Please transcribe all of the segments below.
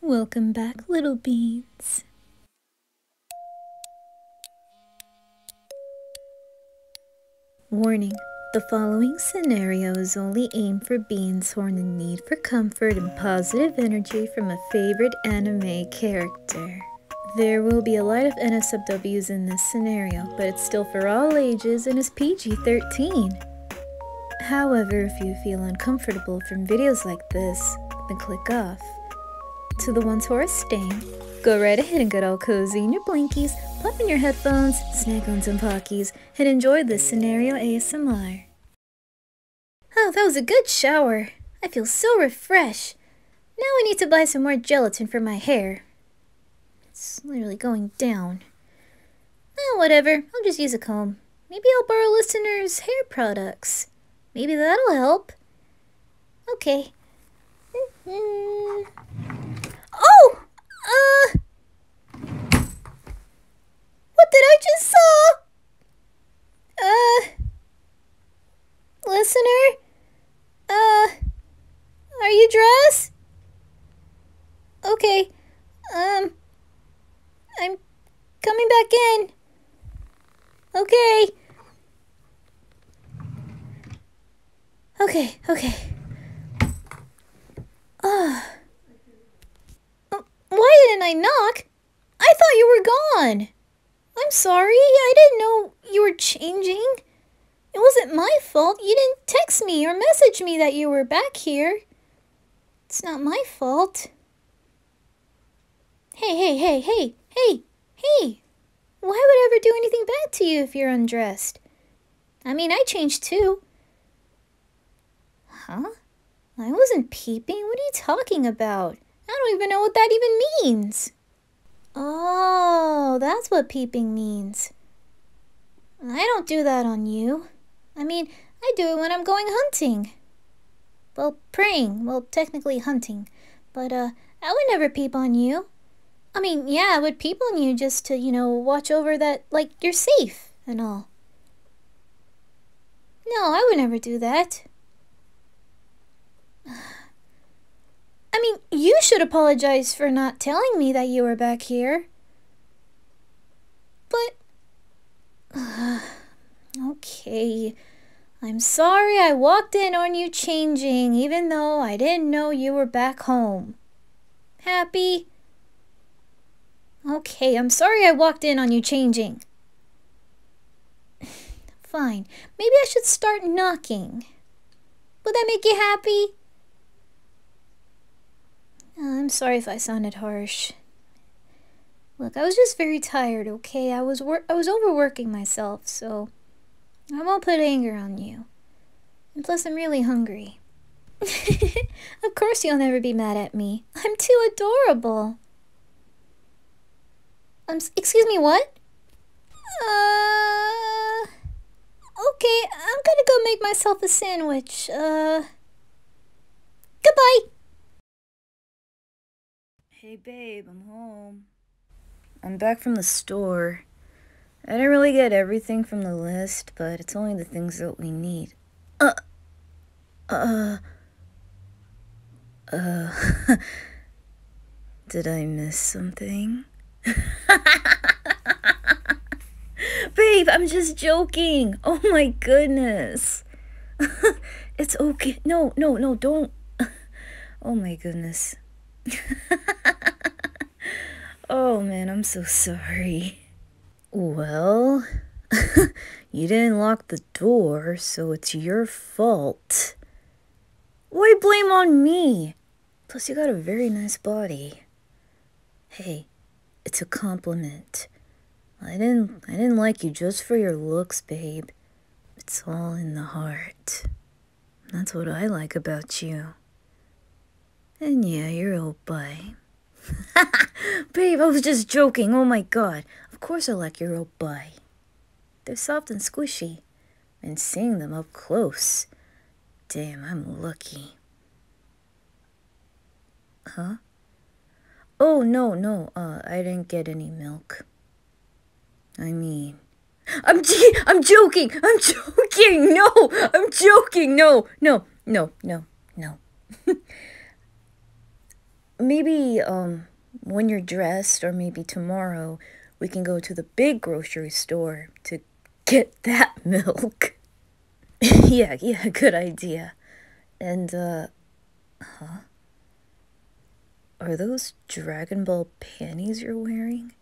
Welcome back, little beans. Warning. The following scenario is only aimed for beans who are in need for comfort and positive energy from a favorite anime character. There will be a lot of NSFWs in this scenario, but it's still for all ages and is PG-13. However, if you feel uncomfortable from videos like this, then click off. To the ones who are staying, go right ahead and get all cozy in your blankies, pop your headphones, snack on some pockies, and enjoy this scenario ASMR. Oh, that was a good shower. I feel so refreshed. Now I need to buy some more gelatin for my hair. It's literally going down. Eh, whatever. I'll just use a comb. Maybe I'll borrow listeners' hair products. Maybe that'll help. Okay. Mm-hmm. oh! Uh... What did I just saw? Uh... Listener? Uh... Are you dressed? Okay. Um... I'm coming back in. Okay. Okay, okay. Ugh. Ah. Oh, why didn't I knock? I thought you were gone. I'm sorry. I didn't know you were changing. It wasn't my fault. You didn't text me or message me that you were back here. It's not my fault. Hey, hey, hey, hey, hey, hey! Why would I ever do anything bad to you if you're undressed? I mean, I changed too. Huh? I wasn't peeping. What are you talking about? I don't even know what that even means. Oh, that's what peeping means. I don't do that on you. I mean, I do it when I'm going hunting. Well, praying. Well, technically hunting. But, uh, I would never peep on you. I mean, yeah, I would peep on you just to, you know, watch over that, like, you're safe and all. No, I would never do that. I mean, you should apologize for not telling me that you were back here. But. Uh, okay. I'm sorry I walked in on you changing, even though I didn't know you were back home. Happy? Okay, I'm sorry I walked in on you changing. Fine, maybe I should start knocking. Would that make you happy? Oh, I'm sorry if I sounded harsh. Look, I was just very tired, okay? I was wor I was overworking myself, so I won't put anger on you. And plus, I'm really hungry. of course you'll never be mad at me. I'm too adorable. Um, excuse me, what? Uh... Okay, I'm gonna go make myself a sandwich. Uh. Goodbye! Hey, babe, I'm home. I'm back from the store. I didn't really get everything from the list, but it's only the things that we need. Uh. Uh. Uh. Did I miss something? Babe, I'm just joking. Oh my goodness. it's okay. No, no, no, don't. oh my goodness. oh man, I'm so sorry. Well, you didn't lock the door, so it's your fault. Why blame on me? Plus, you got a very nice body. Hey, it's a compliment. I didn't I didn't like you just for your looks, babe. It's all in the heart. That's what I like about you. And yeah, you're old bye. babe, I was just joking. Oh my god. Of course I like your old bye. They're soft and squishy. And seeing them up close. Damn, I'm lucky. Huh? Oh, no, no, uh, I didn't get any milk. I mean... I'm I'm joking. I'm joking. No, I'm joking. No, no, no, no, no. maybe um when you're dressed or maybe tomorrow we can go to the big grocery store to get that milk. yeah, yeah, good idea. And, uh, huh? Are those Dragon Ball panties you're wearing?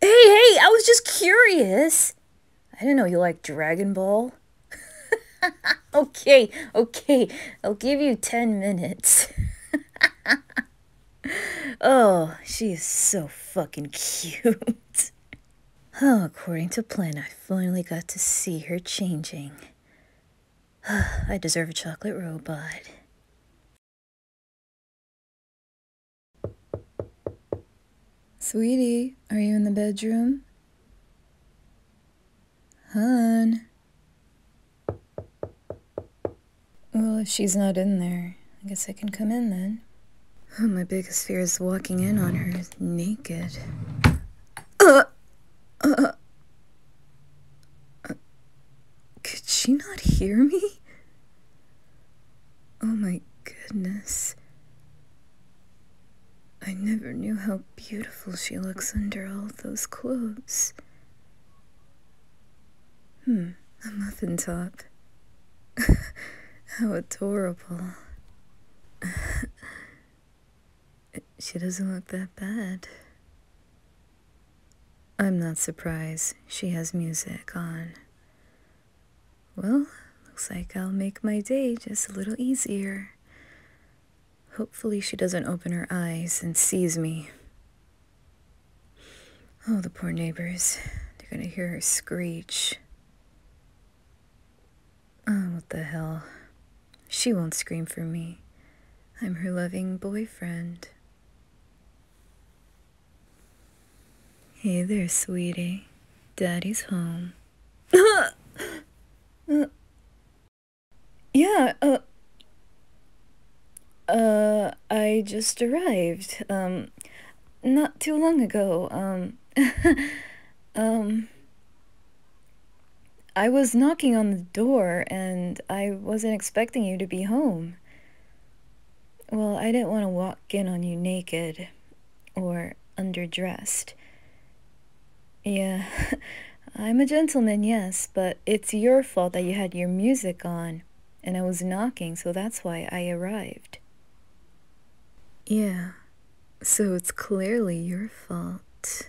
Hey, hey, I was just curious. I didn't know you like Dragon Ball. okay, okay, I'll give you 10 minutes. oh, she is so fucking cute. Oh, according to plan, I finally got to see her changing. I deserve a chocolate robot. Sweetie, are you in the bedroom? Hun. Well, if she's not in there, I guess I can come in then. Oh, my biggest fear is walking in on her naked. could she not hear me? Oh my goodness. I never knew how beautiful she looks under all those clothes. Hmm, a muffin top. How adorable. she doesn't look that bad. I'm not surprised she has music on. Well, looks like I'll make my day just a little easier. Hopefully she doesn't open her eyes and sees me. Oh, the poor neighbors. They're gonna hear her screech. Oh, what the hell. She won't scream for me. I'm her loving boyfriend. Hey there, sweetie. Daddy's home. uh, yeah, uh, uh, I just arrived. Um, not too long ago, um, um, I was knocking on the door and I wasn't expecting you to be home. Well, I didn't want to walk in on you naked or underdressed. Yeah, I'm a gentleman, yes, but it's your fault that you had your music on and I was knocking, so that's why I arrived. Yeah, so it's clearly your fault.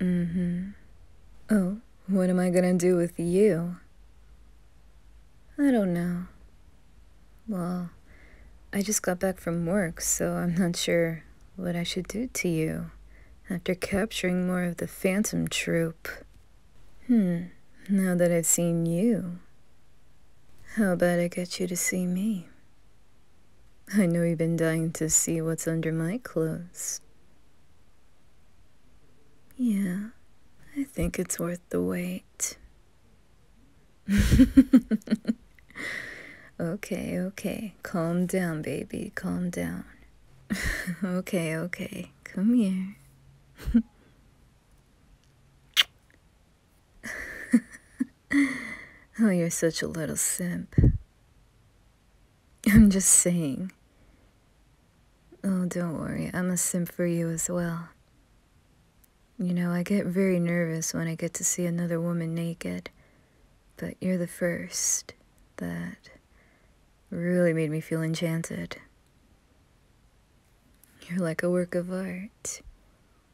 Mm hmm. Oh, what am I gonna do with you? I don't know. Well, I just got back from work, so I'm not sure what I should do to you after capturing more of the Phantom Troop. Hmm, now that I've seen you, how about I get you to see me? I know you've been dying to see what's under my clothes. Yeah, I think it's worth the wait. okay, okay. Calm down, baby. Calm down. okay, okay. Come here. oh, you're such a little simp. I'm just saying. Oh, don't worry. I'm a simp for you as well. You know, I get very nervous when I get to see another woman naked. But you're the first that really made me feel enchanted. You're like a work of art.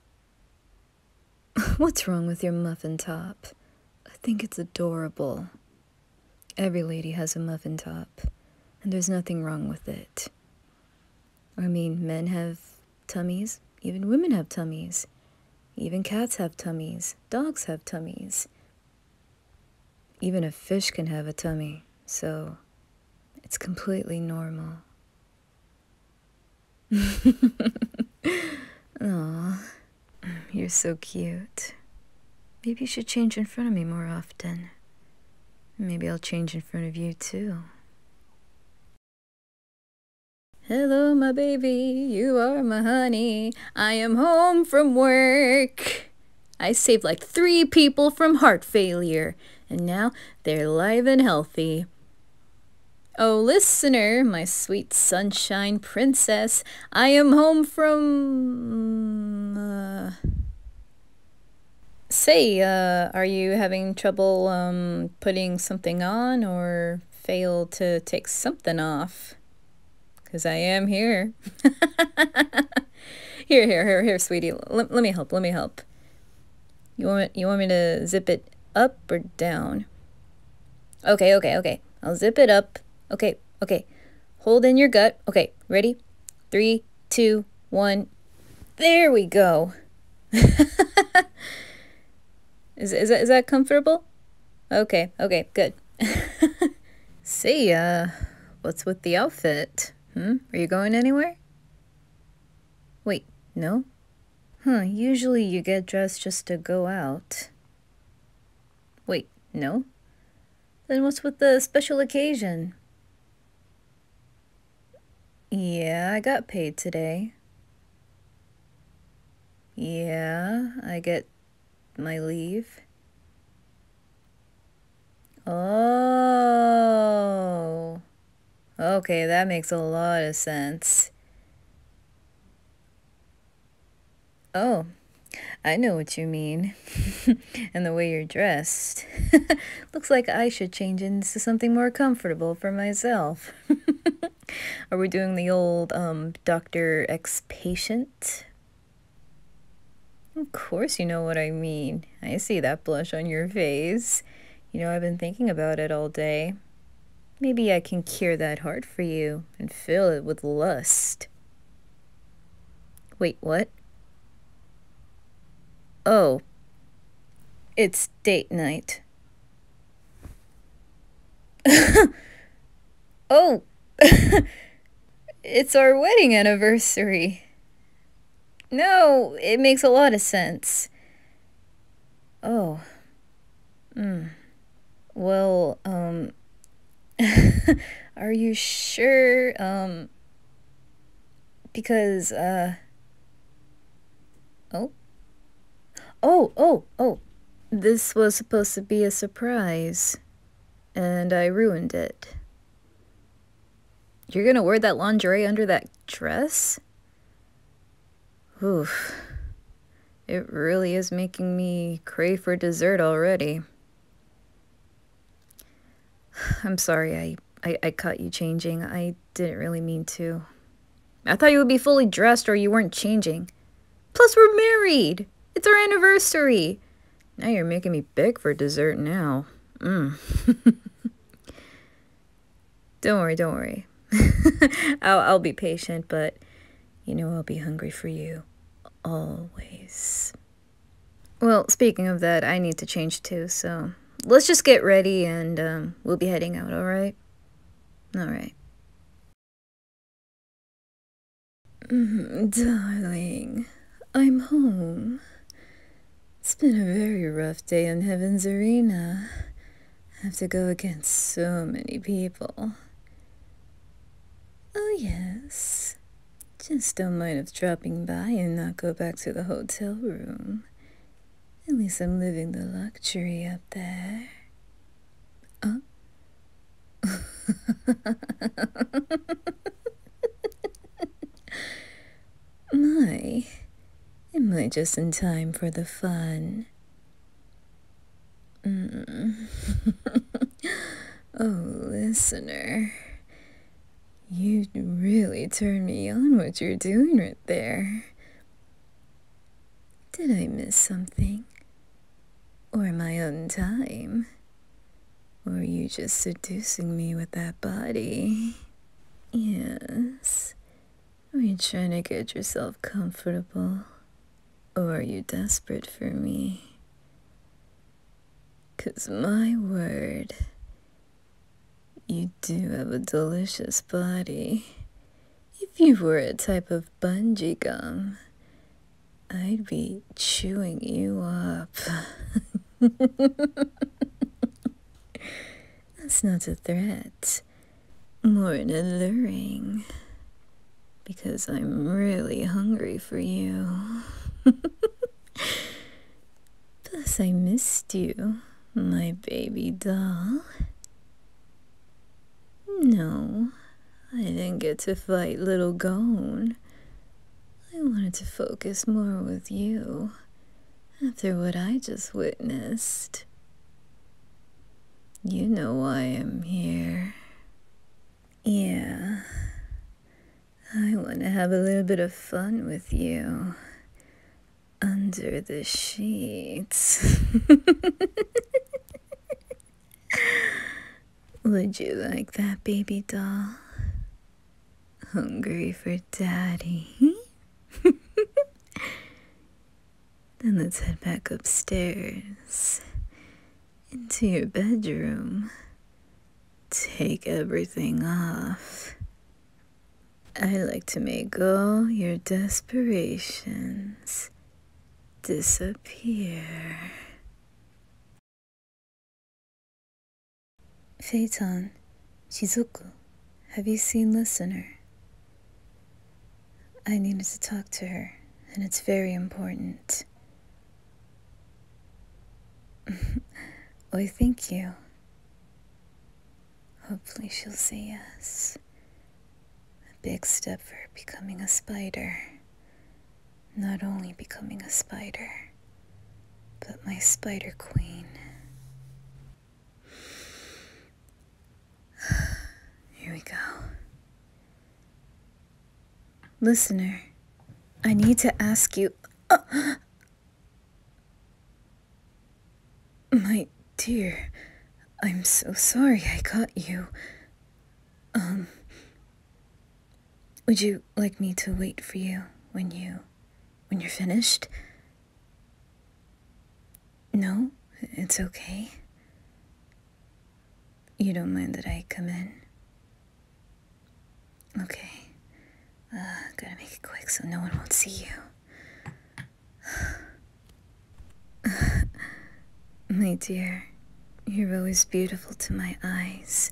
What's wrong with your muffin top? I think it's adorable. Every lady has a muffin top, and there's nothing wrong with it. I mean, men have tummies, even women have tummies, even cats have tummies, dogs have tummies. Even a fish can have a tummy, so it's completely normal. Aw, you're so cute. Maybe you should change in front of me more often. Maybe I'll change in front of you too. Hello, my baby. You are my honey. I am home from work. I saved like three people from heart failure, and now they're live and healthy. Oh, listener, my sweet sunshine princess, I am home from. Uh... Say, uh, are you having trouble um, putting something on or fail to take something off? Because I am here. here, here, here, here, sweetie. let me help. Let me help. You want you want me to zip it up or down? Okay, okay, okay. I'll zip it up. Okay, okay. Hold in your gut. Okay, ready? Three, two, one. There we go. is, is, that, is that comfortable? Okay, okay, good. See ya. What's with the outfit? Hmm? Are you going anywhere? Wait, no? Huh, usually you get dressed just to go out. Wait, no? Then what's with the special occasion? Yeah, I got paid today. Yeah, I get my leave. Oh. Okay, that makes a lot of sense. Oh, I know what you mean. and the way you're dressed. Looks like I should change into something more comfortable for myself. Are we doing the old um, Dr. X patient? Of course, you know what I mean. I see that blush on your face. You know, I've been thinking about it all day. Maybe I can cure that heart for you and fill it with lust. Wait, what? Oh, it's date night. oh! It's our wedding anniversary. No, it makes a lot of sense. Oh. Hmm. Well, um... are you sure, um... Because, uh... Oh? Oh, oh, oh! This was supposed to be a surprise, and I ruined it. You're gonna wear that lingerie under that dress? Oof. It really is making me crave for dessert already. I'm sorry I, I, I caught you changing. I didn't really mean to. I thought you would be fully dressed or you weren't changing. Plus, we're married! It's our anniversary! Now you're making me big for dessert now. Mm. don't worry, don't worry. I'll, I'll be patient, but you know I'll be hungry for you. Always. Well, speaking of that, I need to change too, so let's just get ready and um, we'll be heading out, alright? Alright. Mm-hmm, darling, I'm home. It's been a very rough day in Heaven's Arena. I have to go against so many people. Oh, yes. Just a not mind us dropping by and not go back to the hotel room. At least I'm living the luxury up there. Oh. My, am I just in time for the fun? Mm. oh, listener. You really turn me on what you're doing right there. Did I miss something? Or my own time? Were you just seducing me with that body? Yes. Are you trying to get yourself comfortable? Or are you desperate for me? Cause my word, you do have a delicious body. If you were a type of bungee gum, I'd be chewing you up. That's not a threat, more an alluring, because I'm really hungry for you. Plus, I missed you, my baby doll. No, I didn't get to fight little Gone. I wanted to focus more with you after what I just witnessed. You know why I'm here. Yeah. I want to have a little bit of fun with you. Under the sheets. Would you like that, baby doll? Hungry for daddy? then let's head back upstairs into your bedroom. Take everything off. I like to make all your desperations disappear. Phaeton, Shizuku, have you seen Listener? I needed to talk to her, and it's very important. Oi, thank you. Hopefully, she'll say yes. A big step for becoming a spider not only becoming a spider, but my spider queen. Here we go. Listener, I need to ask you. my dear, I'm so sorry I caught you. Um, would you like me to wait for you when you. when you're finished? No, it's okay. You don't mind that I come in? Okay. Uh, gotta make it quick so no one won't see you. My dear. You're always beautiful to my eyes,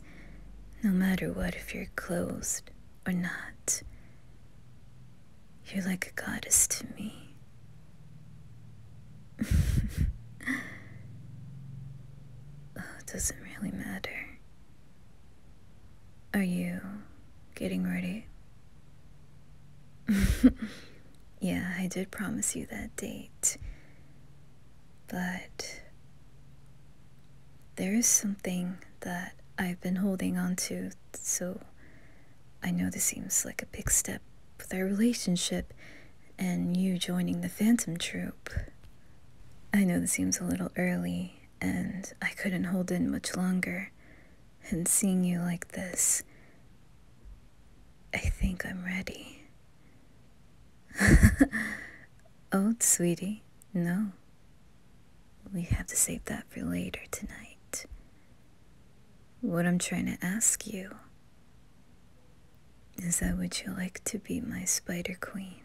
no matter what, if you're closed or not. You're like a goddess to me. Oh, it doesn't really matter. Are you getting ready? yeah, I did promise you that date but there is something that I've been holding on to, so I know this seems like a big step with our relationship and you joining the Phantom Troupe. I know this seems a little early, and I couldn't hold in much longer, and seeing you like this, I think I'm ready. oh, sweetie, no. We have to save that for later tonight. What I'm trying to ask you is that would you like to be my spider queen?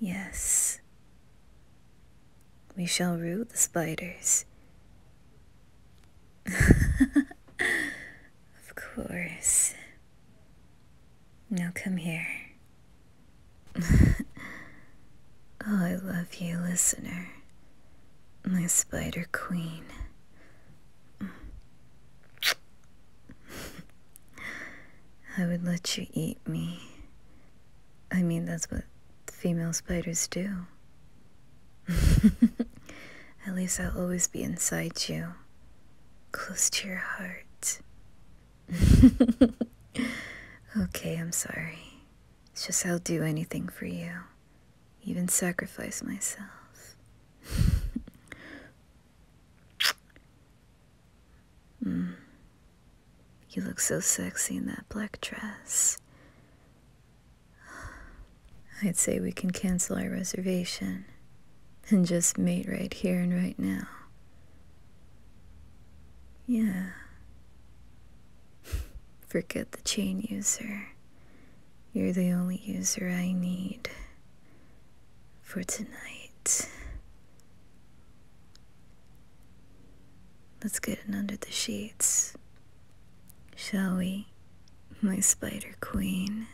Yes. We shall rule the spiders. of course. Now come here. oh, I love you, listener. My spider queen. I would let you eat me. I mean, that's what female spiders do. At least I'll always be inside you, close to your heart. okay, I'm sorry. It's just I'll do anything for you, even sacrifice myself. mm. You look so sexy in that black dress. I'd say we can cancel our reservation and just mate right here and right now. Yeah. Forget the chain user. You're the only user I need for tonight. Let's get in under the sheets, shall we? my spider queen.